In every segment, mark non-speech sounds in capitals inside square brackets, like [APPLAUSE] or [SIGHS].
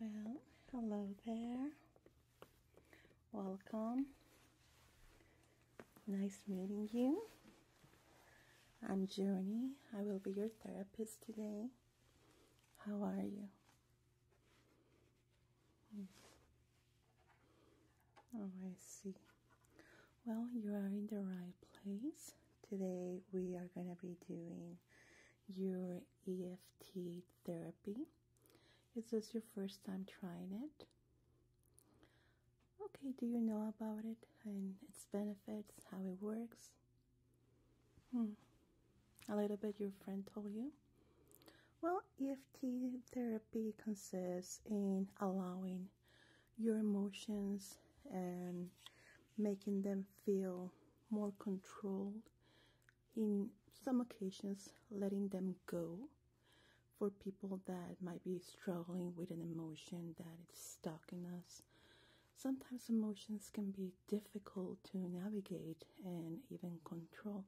Well, hello there. Welcome. Nice meeting you. I'm Journey. I will be your therapist today. How are you? Hmm. Oh, I see. Well, you are in the right place. Today we are going to be doing your EFT therapy. Is this your first time trying it? Okay, do you know about it and its benefits, how it works? Hmm. A little bit your friend told you? Well, EFT therapy consists in allowing your emotions and making them feel more controlled. In some occasions, letting them go for people that might be struggling with an emotion that is stuck in us. Sometimes emotions can be difficult to navigate and even control,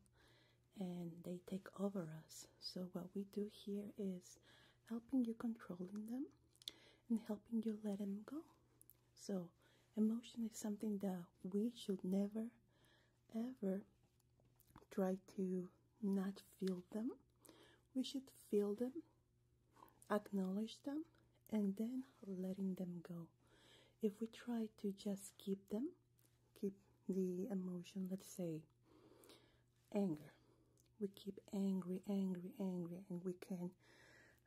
and they take over us. So, what we do here is helping you controlling them and helping you let them go. So, emotion is something that we should never ever try to not feel them. We should feel them, acknowledge them, and then letting them go. If we try to just keep them, keep the emotion, let's say anger, we keep angry angry angry and we can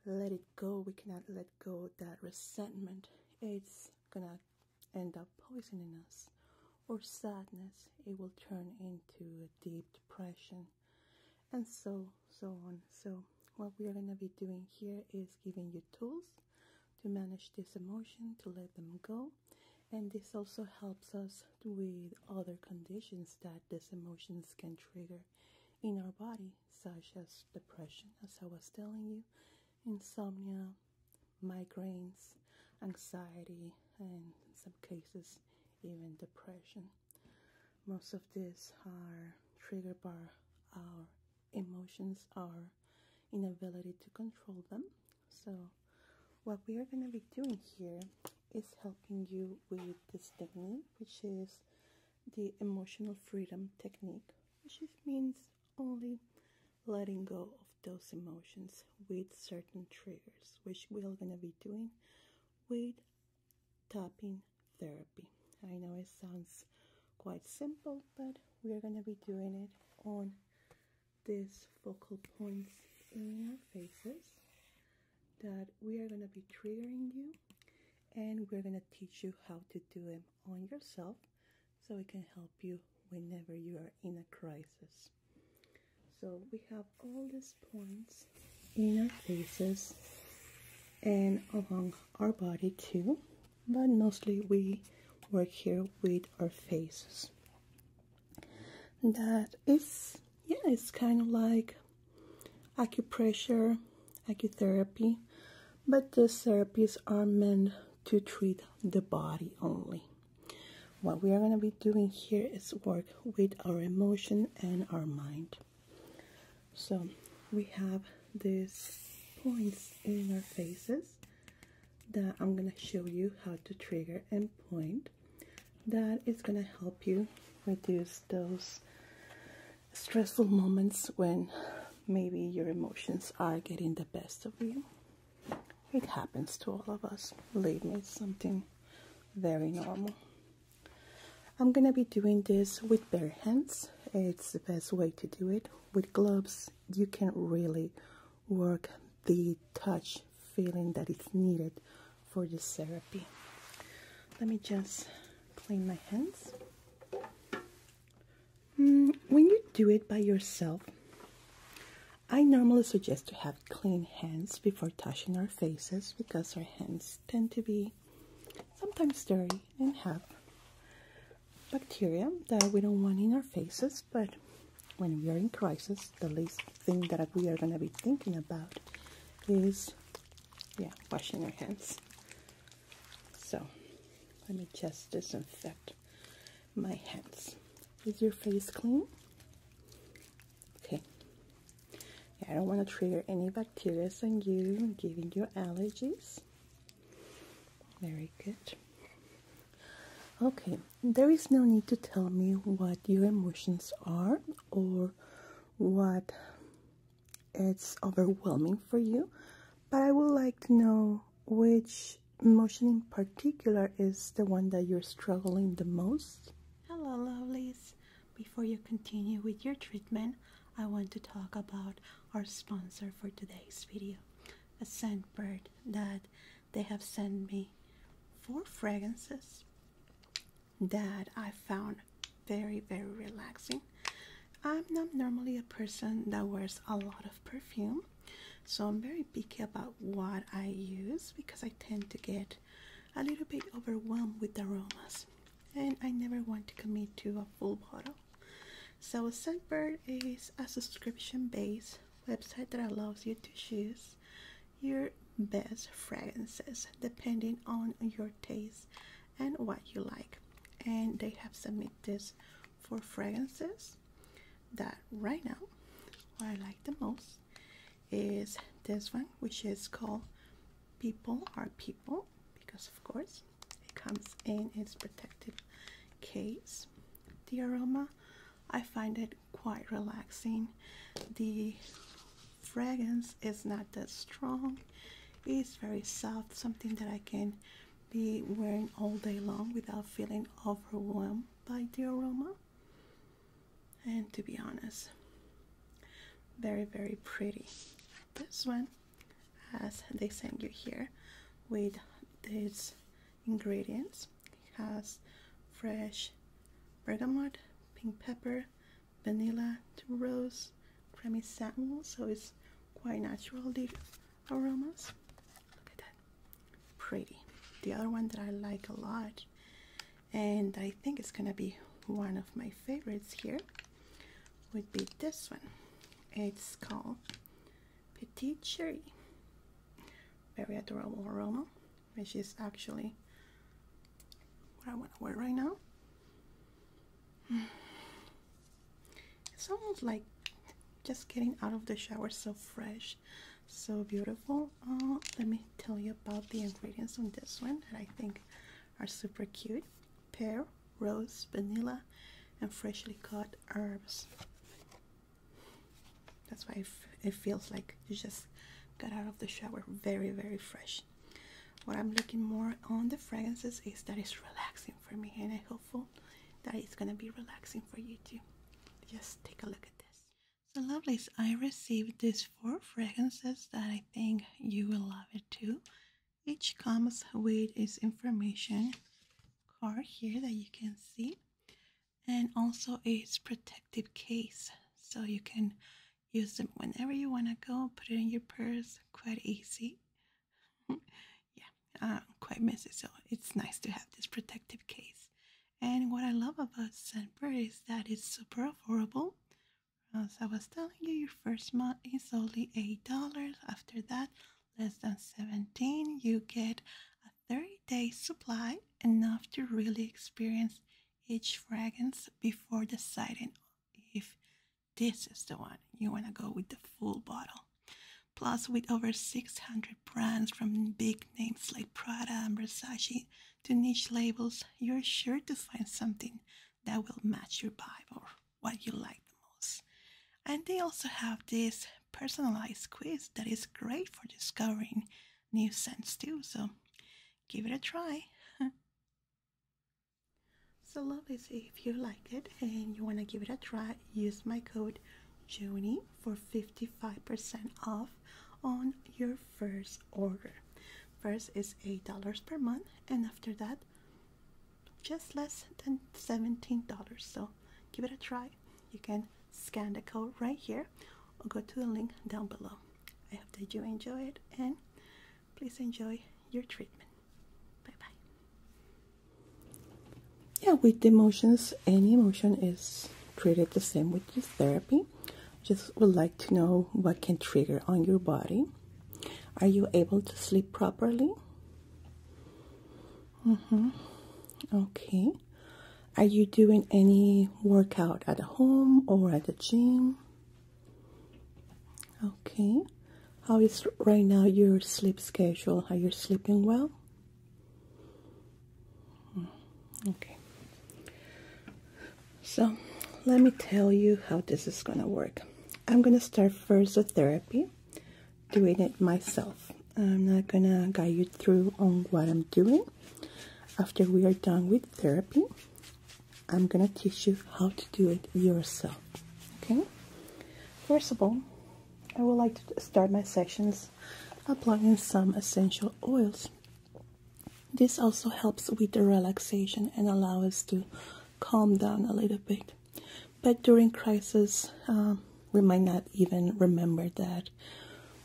let it go we cannot let go that resentment it's gonna end up poisoning us or sadness it will turn into a deep depression and so so on so what we are going to be doing here is giving you tools to manage this emotion to let them go and this also helps us with other conditions that these emotions can trigger in our body, such as depression, as I was telling you, insomnia, migraines, anxiety, and in some cases, even depression. Most of this are triggered by our emotions, our inability to control them. So, what we are going to be doing here is helping you with this technique, which is the emotional freedom technique, which means only letting go of those emotions with certain triggers, which we're going to be doing with tapping therapy. I know it sounds quite simple, but we're going to be doing it on these focal points in our faces that we are going to be triggering you and we're going to teach you how to do them on yourself so it can help you whenever you are in a crisis. So we have all these points in our faces and along our body too, but mostly we work here with our faces. That is yeah, it's kind of like acupressure, acutherapy, but these therapies are meant to treat the body only. What we are going to be doing here is work with our emotion and our mind. So we have these points in our faces that I'm going to show you how to trigger and point that is going to help you reduce those stressful moments when maybe your emotions are getting the best of you. It happens to all of us. Believe me, it's something very normal. I'm going to be doing this with bare hands. It's the best way to do it. With gloves, you can really work the touch feeling that is needed for this therapy. Let me just clean my hands. Mm, when you do it by yourself, I normally suggest to have clean hands before touching our faces because our hands tend to be sometimes dirty and have bacteria that we don't want in our faces, but when we are in crisis, the least thing that we are going to be thinking about is, yeah, washing our hands. So, let me just disinfect my hands. Is your face clean? Okay. I don't want to trigger any bacteria on you, giving you allergies. Very good. Okay, there is no need to tell me what your emotions are or what it's overwhelming for you, but I would like to know which emotion in particular is the one that you're struggling the most. Hello, lovelies. Before you continue with your treatment, I want to talk about our sponsor for today's video, a scent bird that they have sent me four fragrances that I found very, very relaxing. I'm not normally a person that wears a lot of perfume, so I'm very picky about what I use because I tend to get a little bit overwhelmed with aromas and I never want to commit to a full bottle. So Scentbird is a subscription-based website that allows you to choose your best fragrances depending on your taste and what you like and they have submitted this for fragrances that right now what i like the most is this one which is called people are people because of course it comes in its protective case the aroma I find it quite relaxing. The fragrance is not that strong. It's very soft, something that I can be wearing all day long without feeling overwhelmed by the aroma. And to be honest, very, very pretty. This one, as they send you here with these ingredients. It has fresh bergamot, pink pepper, vanilla, rose, creamy satin. so it's quite natural, the aromas. Look at that. Pretty. The other one that I like a lot, and I think it's going to be one of my favorites here, would be this one. It's called Petit Cherry. Very adorable aroma which is actually what I want to wear right now. [SIGHS] It's almost like just getting out of the shower so fresh, so beautiful. Uh, let me tell you about the ingredients on this one that I think are super cute. Pear, rose, vanilla, and freshly cut herbs. That's why it feels like you just got out of the shower very, very fresh. What I'm looking more on the fragrances is that it's relaxing for me, and I'm hopeful that it's gonna be relaxing for you too. Just take a look at this. So, lovelies, I received these four fragrances that I think you will love it too. Each comes with its information card here that you can see and also it's protective case so you can use them whenever you want to go put it in your purse quite easy [LAUGHS] yeah uh, quite miss it, so it's nice to have this protective case and what i love about scentbird is that it's super affordable as i was telling you your first month is only eight dollars after that less than 17 you get 30 days supply, enough to really experience each fragrance before deciding if this is the one you want to go with the full bottle. Plus, with over 600 brands from big names like Prada and Versace to niche labels, you're sure to find something that will match your vibe or what you like the most. And they also have this personalized quiz that is great for discovering new sense too. So give it a try. [LAUGHS] so lovelies, if you like it and you want to give it a try, use my code Junie for 55% off on your first order. First is $8 per month and after that just less than $17. So give it a try. You can scan the code right here or go to the link down below. I hope that you enjoy it and please enjoy your treatment. Bye bye. Yeah, with the emotions, any emotion is treated the same with this therapy. Just would like to know what can trigger on your body. Are you able to sleep properly? Mm-hmm. Okay. Are you doing any workout at home or at the gym? Okay. How is right now your sleep schedule? Are you sleeping well? Hmm. Okay. So let me tell you how this is going to work. I'm going to start first with therapy, doing it myself. I'm not gonna guide you through on what I'm doing. After we are done with therapy, I'm gonna teach you how to do it yourself. Okay? First of all, I would like to start my sessions applying some essential oils. This also helps with the relaxation and allow us to calm down a little bit. But during crisis, uh, we might not even remember that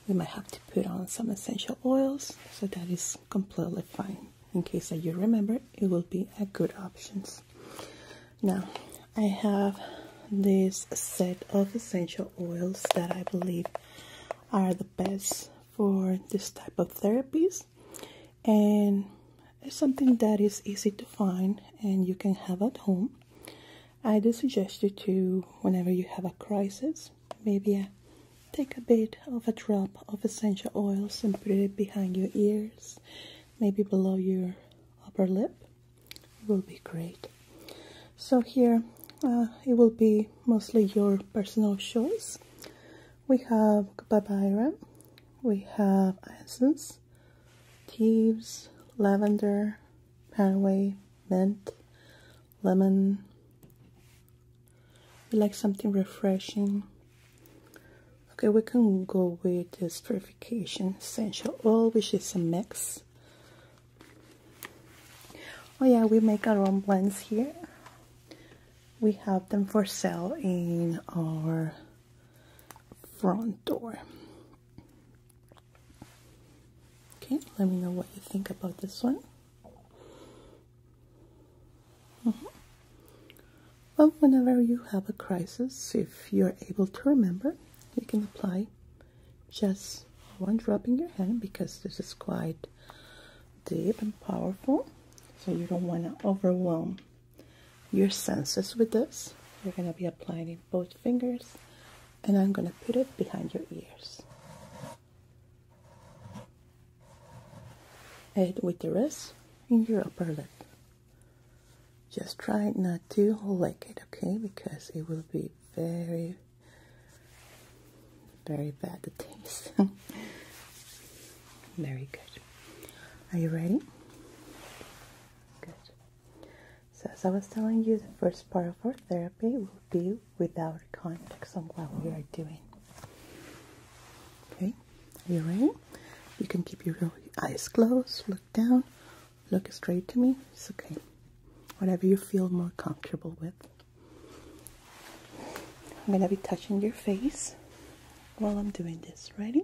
we might have to put on some essential oils, so that is completely fine. In case that you remember, it will be a good options. Now, I have this set of essential oils that I believe are the best for this type of therapies, and it's something that is easy to find and you can have at home I do suggest you to, whenever you have a crisis, maybe uh, take a bit of a drop of essential oils and put it behind your ears, maybe below your upper lip. will be great. So here, uh, it will be mostly your personal choice. We have Barbaira, we have Essence, Thieves, Lavender, Panway, mint, lemon. We like something refreshing. Okay, we can go with this purification essential oil, which is a mix. Oh yeah, we make our own blends here. We have them for sale in our front door. Okay, let me know what you think about this one. Mm-hmm. Well, whenever you have a crisis, if you're able to remember, you can apply just one drop in your hand because this is quite deep and powerful. So you don't want to overwhelm your senses with this. You're going to be applying it both fingers and I'm going to put it behind your ears. And with the rest in your upper lip. Just try not to lick it, okay? Because it will be very, very bad to taste. [LAUGHS] very good. Are you ready? Good. So as I was telling you, the first part of our therapy will be without context on what we are doing. Okay, are you ready? You can keep your eyes closed, look down, look straight to me. It's okay. Whatever you feel more comfortable with. I'm gonna be touching your face while I'm doing this. Ready?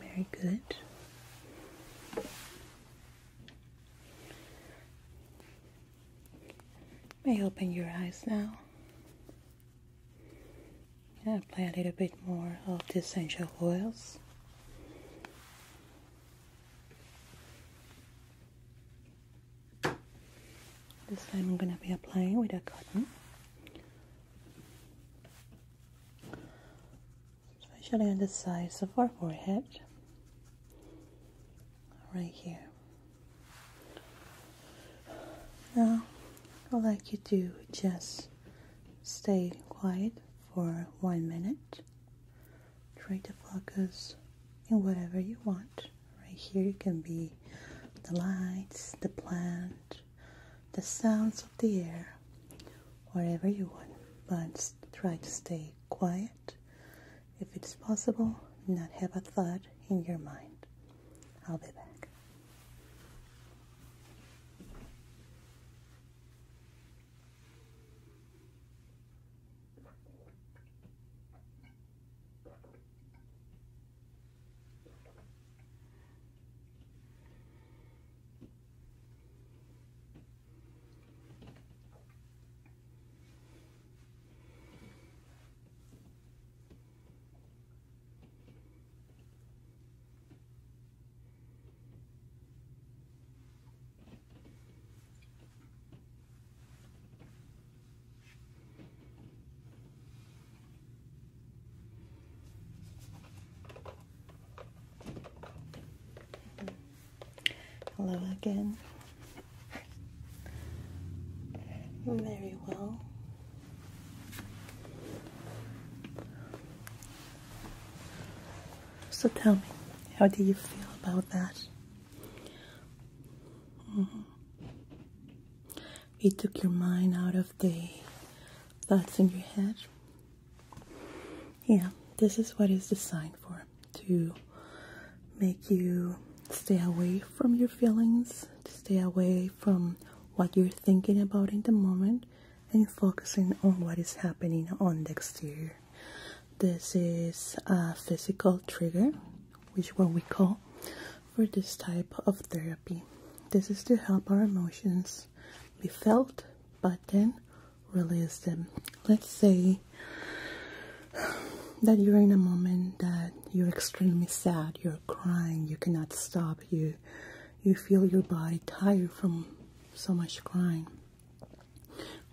Very good. May open your eyes now. And apply a little bit more of the essential oils. This time I'm going to be applying with a cotton. Especially on the sides of our forehead. Right here. Now, I'd like you to just stay quiet for one minute. Try to focus in whatever you want. Right here, it can be the lights, the plant, the sounds of the air, whatever you want. But try to stay quiet. If it's possible, not have a thought in your mind. I'll be back. Hello again. Very well. So tell me, how do you feel about that? It mm-hmm. took your mind out of the thoughts in your head. Yeah, this is what it's designed for to make you stay away from your feelings, stay away from what you're thinking about in the moment, and focusing on what is happening on the exterior. This is a physical trigger, which what we call for this type of therapy. This is to help our emotions be felt, but then release them. Let's say that you're in a moment that you're extremely sad, you're crying, you cannot stop, you you feel your body tired from so much crying.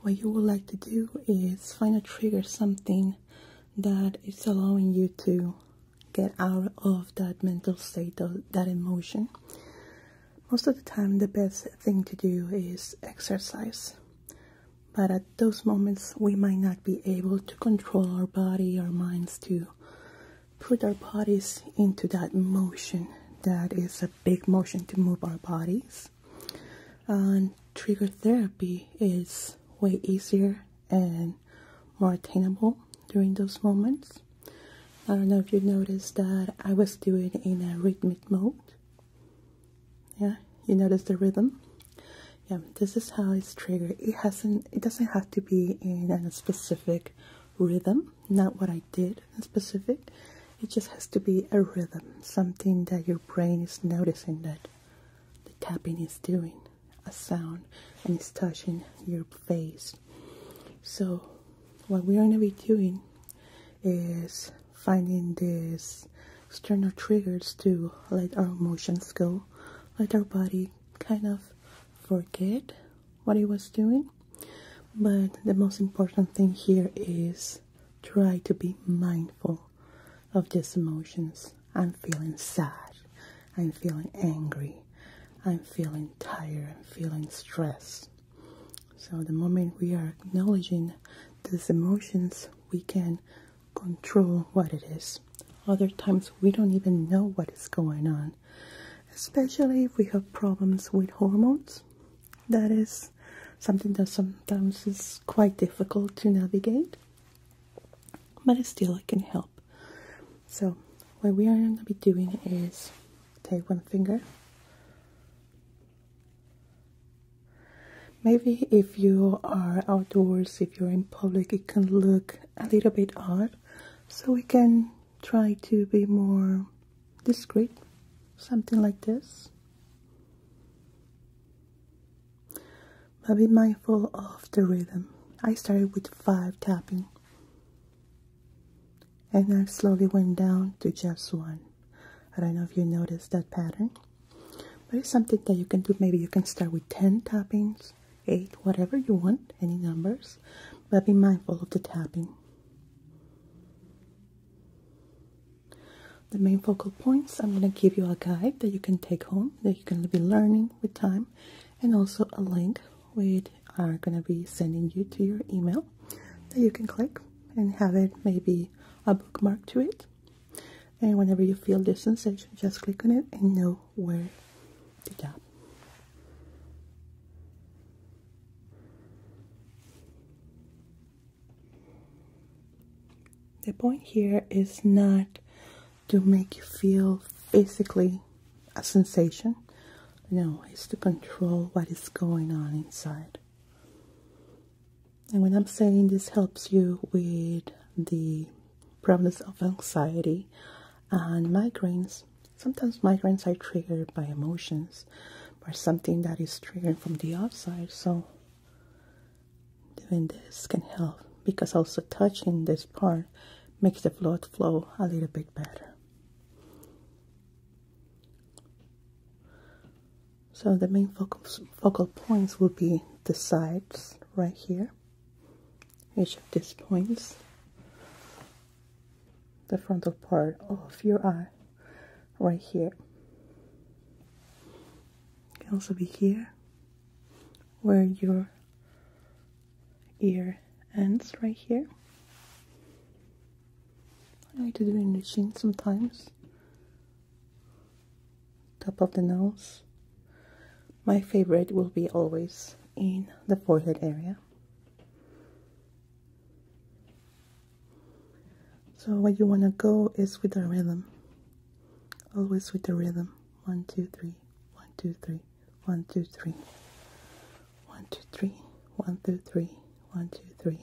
What you would like to do is find a trigger, something that is allowing you to get out of that mental state, of that emotion. Most of the time, the best thing to do is exercise. But at those moments, we might not be able to control our body, our minds to put our bodies into that motion that is a big motion to move our bodies. And trigger therapy is way easier and more attainable during those moments. I don't know if you noticed that I was doing in a rhythmic mode yeah you notice the rhythm yeah this is how it's triggered it hasn't it doesn't have to be in a specific rhythm not what i did in specific it just has to be a rhythm something that your brain is noticing that the tapping is doing a sound and it's touching your face so what we're going to be doing is finding this external triggers to let our emotions go, let our body kind of forget what it was doing. But the most important thing here is try to be mindful of these emotions. I'm feeling sad, I'm feeling angry, I'm feeling tired, I'm feeling stressed. So the moment we are acknowledging these emotions, we can control what it is. Other times we don't even know what is going on, especially if we have problems with hormones. That is something that sometimes is quite difficult to navigate, but still, it can help. So, what we are going to be doing is take one finger Maybe if you are outdoors, if you're in public, it can look a little bit odd. So we can try to be more discreet, something like this. But be mindful of the rhythm. I started with five tapping. And I slowly went down to just one. I don't know if you noticed that pattern but it's something that you can do maybe you can start with 10 tappings 8 whatever you want any numbers but be mindful of the tapping the main focal points i'm going to give you a guide that you can take home that you can be learning with time and also a link we are going to be sending you to your email that you can click and have it maybe a bookmark to it and whenever you feel this sensation just click on it and know where to tap the point here is not to make you feel physically a sensation no it's to control what is going on inside and when I'm saying this helps you with the problems of anxiety and migraines, sometimes migraines are triggered by emotions or something that is triggered from the outside. So doing this can help because also touching this part makes the blood flow a little bit better. So the main focal, points will be the sides right here, each of these points, the frontal part of your eye right here. can also be here where your ear ends right here. I like to do it in the chin sometimes top of the nose. My favorite will be always in the forehead area. So what you want to go is with a rhythm. Always with a rhythm. One, two, three. One, two, three. One, two, three. One, two, three. One, two, three. One, two, three.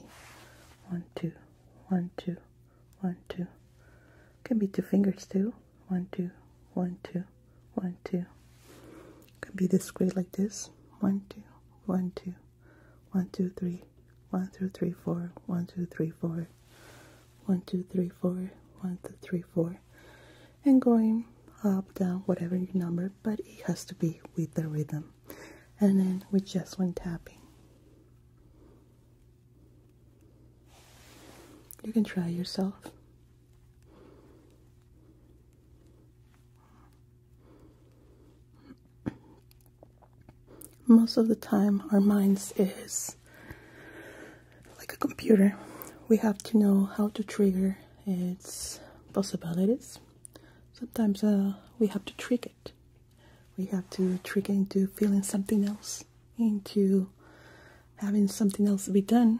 One, two. One, two one, two. Can be two fingers too. One, two, one, two, one, two. Could be this way like this. One, two, one, two, one, two, three, one, two, three, four, one, two, three, four, one, two, three, four, one, two, three, four. And going up, down, whatever your number, but it has to be with the rhythm. And then with just one tapping. You can try yourself. Most of the time, our minds is like a computer. We have to know how to trigger its possibilities. Sometimes uh, we have to trick it we have to trigger into feeling something else, into having something else to be done.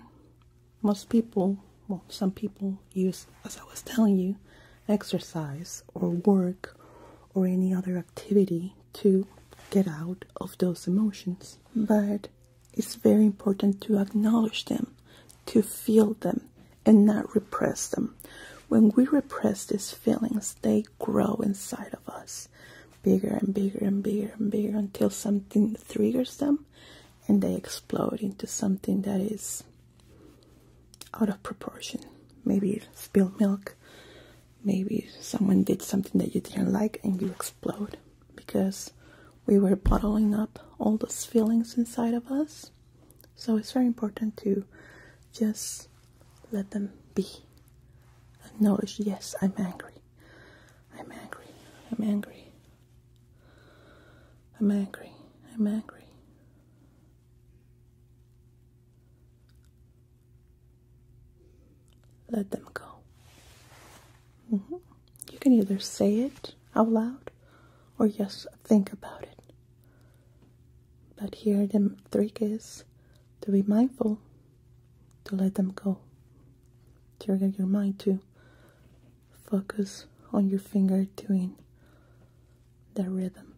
Most people, well, some people use, as I was telling you, exercise or work or any other activity to get out of those emotions. But it's very important to acknowledge them, to feel them, and not repress them. When we repress these feelings, they grow inside of us bigger and bigger and bigger and bigger until something triggers them and they explode into something that is out of proportion. Maybe spilled milk, maybe someone did something that you didn't like and you explode because we were bottling up all those feelings inside of us. So it's very important to just let them be. Acknowledge, yes, I'm angry. I'm angry. I'm angry. I'm angry. I'm angry. Let them go. Mm-hmm. You can either say it out loud or just think about it. But here the trick is to be mindful, to let them go. Trigger your mind to focus on your finger doing the rhythm.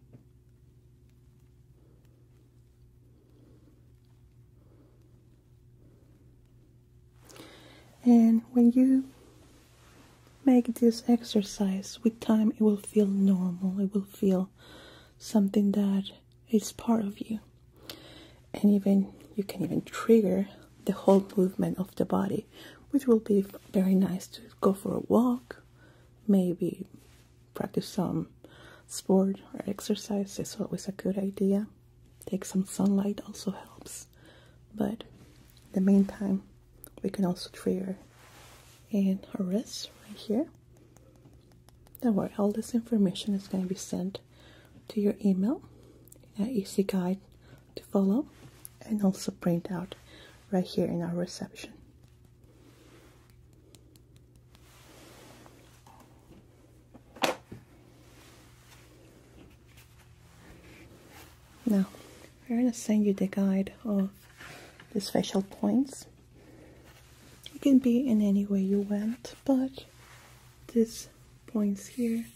And when you make this exercise with time, it will feel normal, it will feel something that is part of you and even you can even trigger the whole movement of the body which will be very nice to go for a walk maybe practice some sport or exercise is always a good idea take some sunlight also helps but in the meantime we can also trigger in a rest right here don't worry, all this information is going to be sent to your email an easy guide to follow and also print out right here in our reception. Now, we're going to send you the guide of these facial points it can be in any way you want, but these points here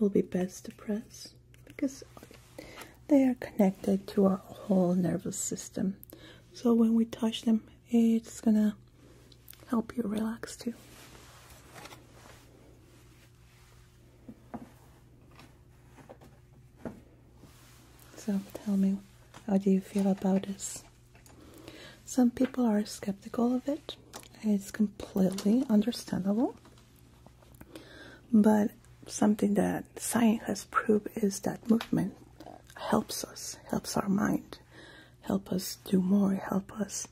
will be best to press because they are connected to our whole nervous system. So when we touch them, it's gonna help you relax too. So tell me, how do you feel about this? Some people are skeptical of it. It's completely understandable. But something that science has proved is that movement helps us, helps our mind, help us do more, help us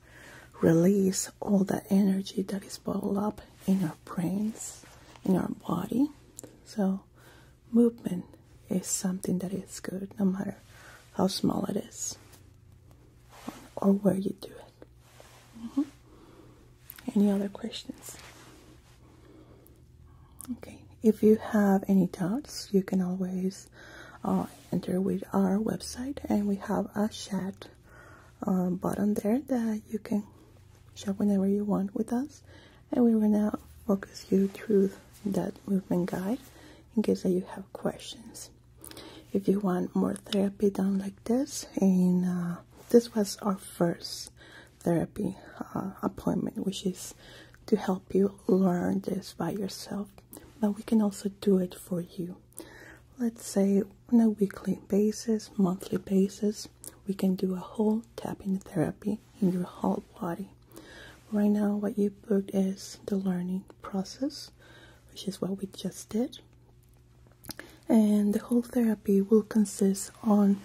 release all that energy that is bottled up in our brains, in our body. So movement is something that is good no matter how small it is or where you do it. Mm-hmm. Any other questions? Okay, if you have any doubts, you can always uh, enter with our website and we have a chat uh, button there that you can shop whenever you want with us and we will now focus you through that movement guide in case that you have questions if you want more therapy done like this and uh, this was our first therapy uh, appointment which is to help you learn this by yourself but we can also do it for you let's say on a weekly basis monthly basis we can do a whole tapping therapy in your whole body. Right now, what you booked is the learning process, which is what we just did. And the whole therapy will consist on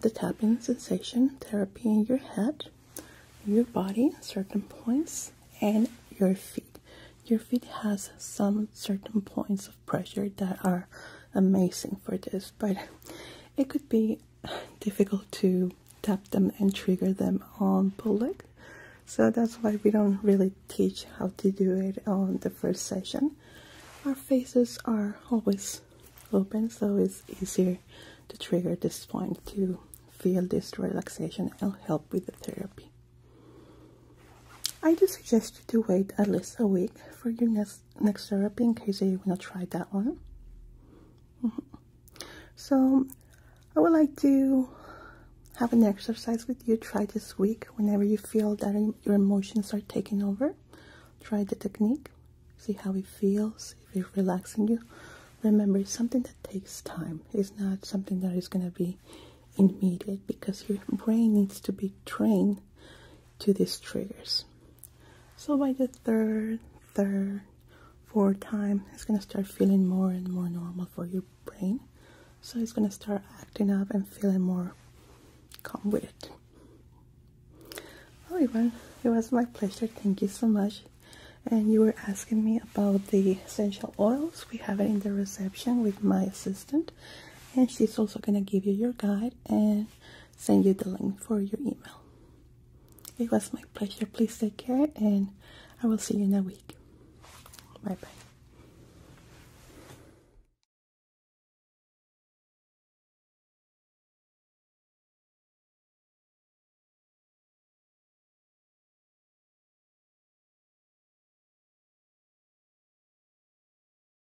the tapping sensation therapy in your head, your body, certain points, and your feet. Your feet has some certain points pressure that are amazing for this, but it could be difficult to tap them and trigger them on pull So that's why we don't really teach how to do it on the first session. Our faces are always open, so it's easier to trigger this point to feel this relaxation and help with the therapy. I do suggest you to wait at least a week for your next next therapy in case you want to try that one. Mm-hmm. So, I would like to have an exercise with you. Try this week whenever you feel that your emotions are taking over. Try the technique, see how it feels, if it's relaxing you. Remember, it's something that takes time. It's not something that is going to be immediate because your brain needs to be trained to these triggers. So by the third, third, fourth time, it's gonna start feeling more and more normal for your brain. So it's gonna start acting up and feeling more calm with it. Oh, well, everyone, it was my pleasure. Thank you so much. And you were asking me about the essential oils. We have it in the reception with my assistant, and she's also gonna give you your guide and send you the link for your email. It was my pleasure. Please take care, and I will see you in a week. Bye bye.